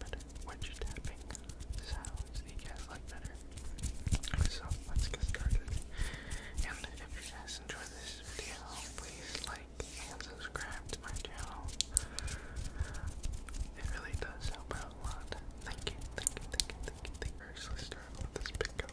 better wedge tapping sounds that you guys like better. So let's get started. And if you guys enjoy this video, please like and subscribe to my channel. It really does help out a lot. Thank you, thank you, thank you, thank you, let let's start with this pickup.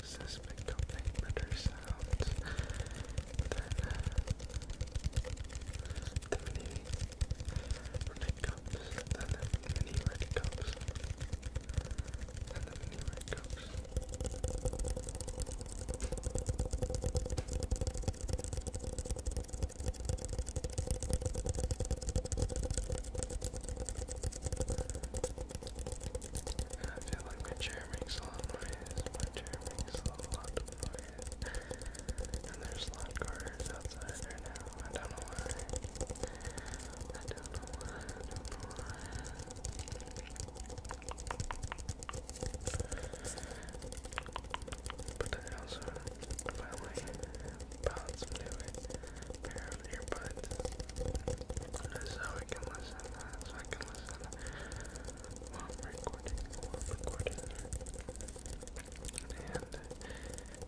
Does this make better sounds the mini red cups? the mini red cups? the mini red and I feel like my chair makes a lot of noise. My chair makes a lot of noise. And there's slot cars outside I don't know why. I don't know why. I don't know why. But I also finally found some new a pair of earbuds so I can listen, so I can listen while I'm recording, And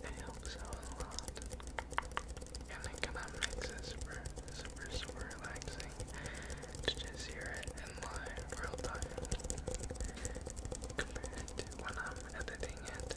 it helps out a lot. And it kind of makes it super, super, super relaxing to just hear it in live, real time. Compared to when I'm editing it,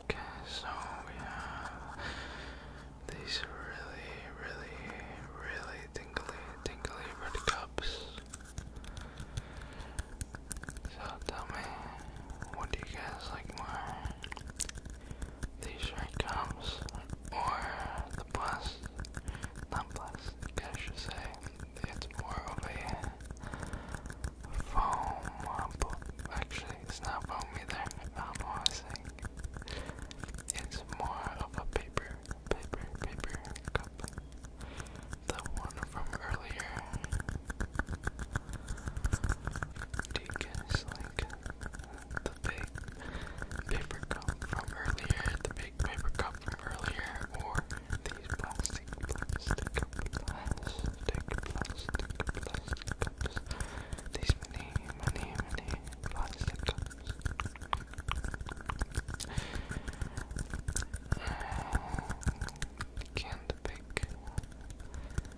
Okay, so we have these really, really, really tingly, tingly red cups. So tell me, what do you guys like more? These red cups or the plus? Not plus, I should say. It's more of a foam, uh, actually it's not foam either. I'm always it's more of a paper, paper, paper cup. The one from earlier. Do you guys like the big paper cup from earlier? The big paper cup from earlier, or these plastic, plastic, plastic, cups. These many, many, many plastic cups. And can't pick between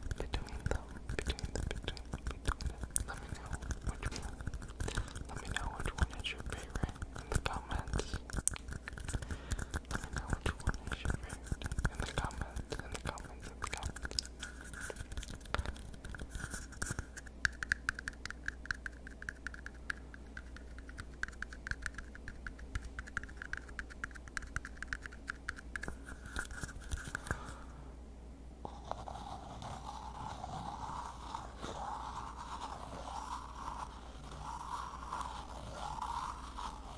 them, between them, between them, Let me know which one. Let me know which one is your favorite in the comments. Let me know what you want me to in the comments, in the comments, in the comments.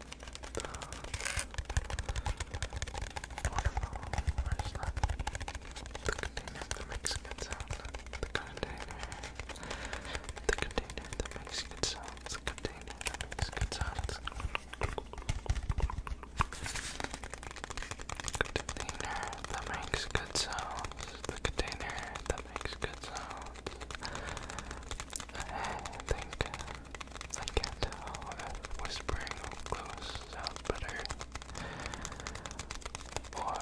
Wonderful. Where's that? The container the Mexican sound. The The container that makes good sounds. The container that makes good sounds. The container that makes good sounds. The container that makes good sounds. I think I can't tell whispering close sounds or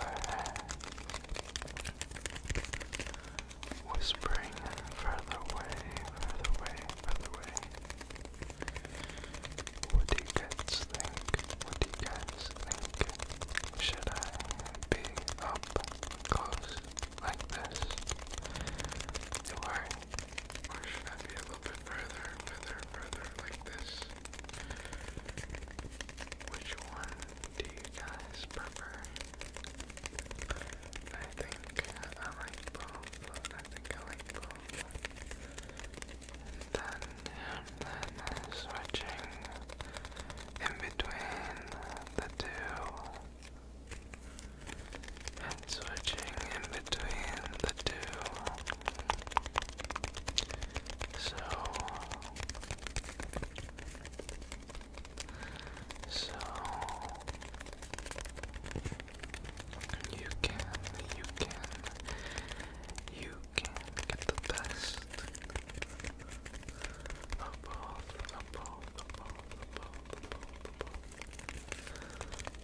whispering further away, further away, further away. What do you guys think? What do you Should I be up close like this. Or, should I be a little bit further, further, further like this? Which one do you guys prefer? I think uh, I like both. I think I like both. then, and then switching in between the two and switching in between the two. So, so you can, you can, you can get the best of both, of both, of both.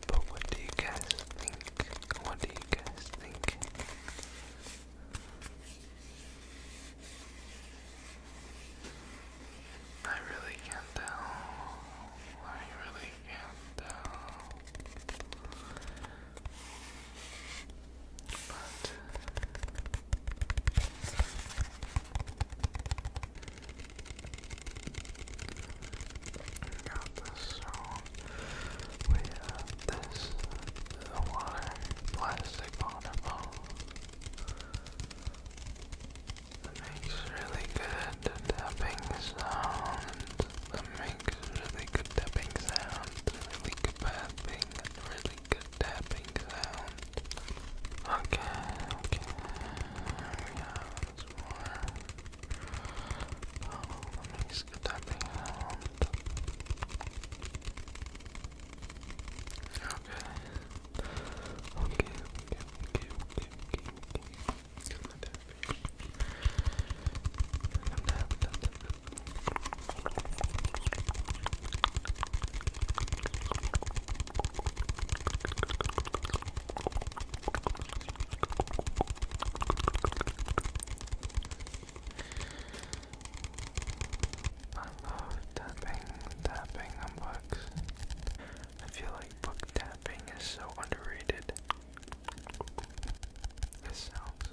But what do you guys think? What do you guys think? I really can't tell. I really can't tell. But got this, so we have this, water, plastic water bottle. It makes really good tapping sounds. It makes really good tapping sounds, really good tapping, really like tapping sound. Okay, okay. We have this one. Oh, that makes a tapping sound. Okay. Okay, okay, okay, okay, okay, okay. Tap, tap, tap, I love tapping, tapping on books. I feel like book tapping is so underrated. This sounds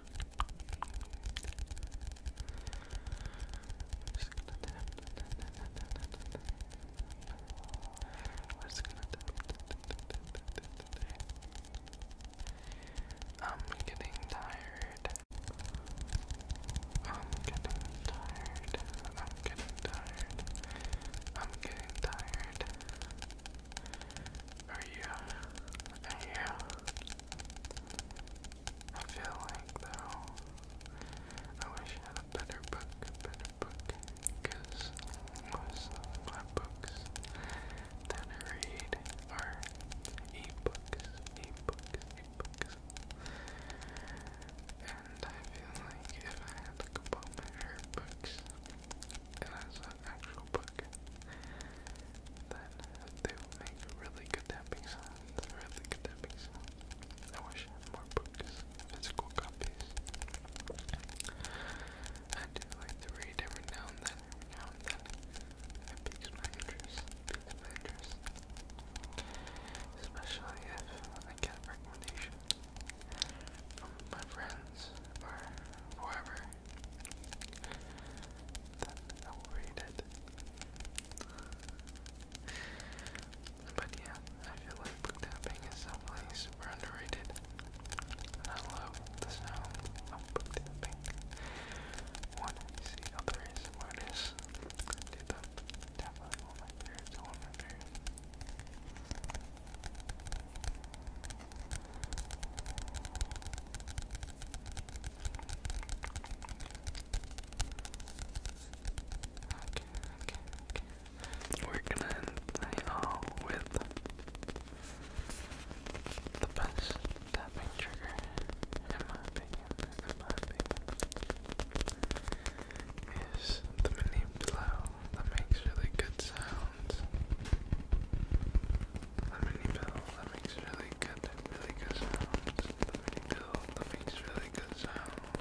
I'm getting tired. I'm getting tired. I'm getting tired. I'm getting tired are you, are you? I feel like though, I wish I had a better book, better book, because most of my books that I read are ebooks, ebooks, ebooks. And I feel like if I had a couple of books, and as an actual book, book, then they will make really good tapping Really good tapping I wish more books, physical copies. I do like to read every now and then, now and then. It piques interest. Piques my interest. Especially if I get recommendations from my friends or whoever then I But yeah, I feel like book tapping is definitely super underrated. And the sound of book tapping. When I see others artists do them, definitely one of my favorites, one of my favorites okay. We're gonna end with the best tapping trigger, my opinion, in my opinion, is the mini blow that makes really good sounds sounds. Lemony Bill, that makes really good, really good sounds. Lemony Bill, that makes really good sounds.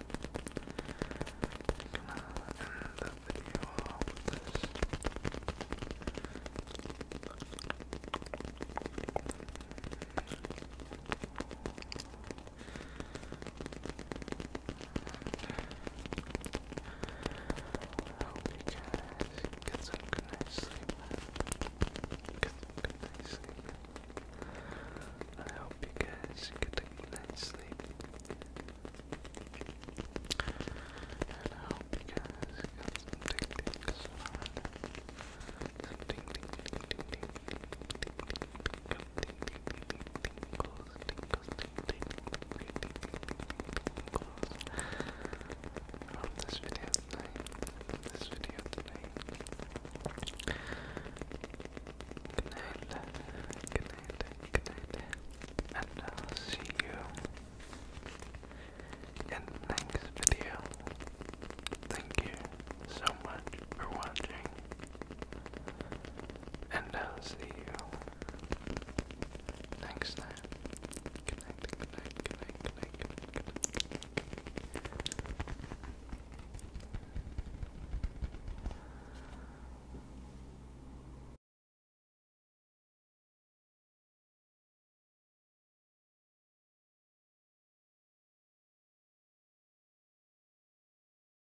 I'm end the with this. I hope you guys get some good night's sleep. Get good night's sleep. I hope you guys get a good night's sleep. I hope you guys got some ding dings on from this video tonight. this video tonight. Good night. Good And I'll see you in the next video. Thank you so much for watching. And I'll see you next time. Good night, good night, good night,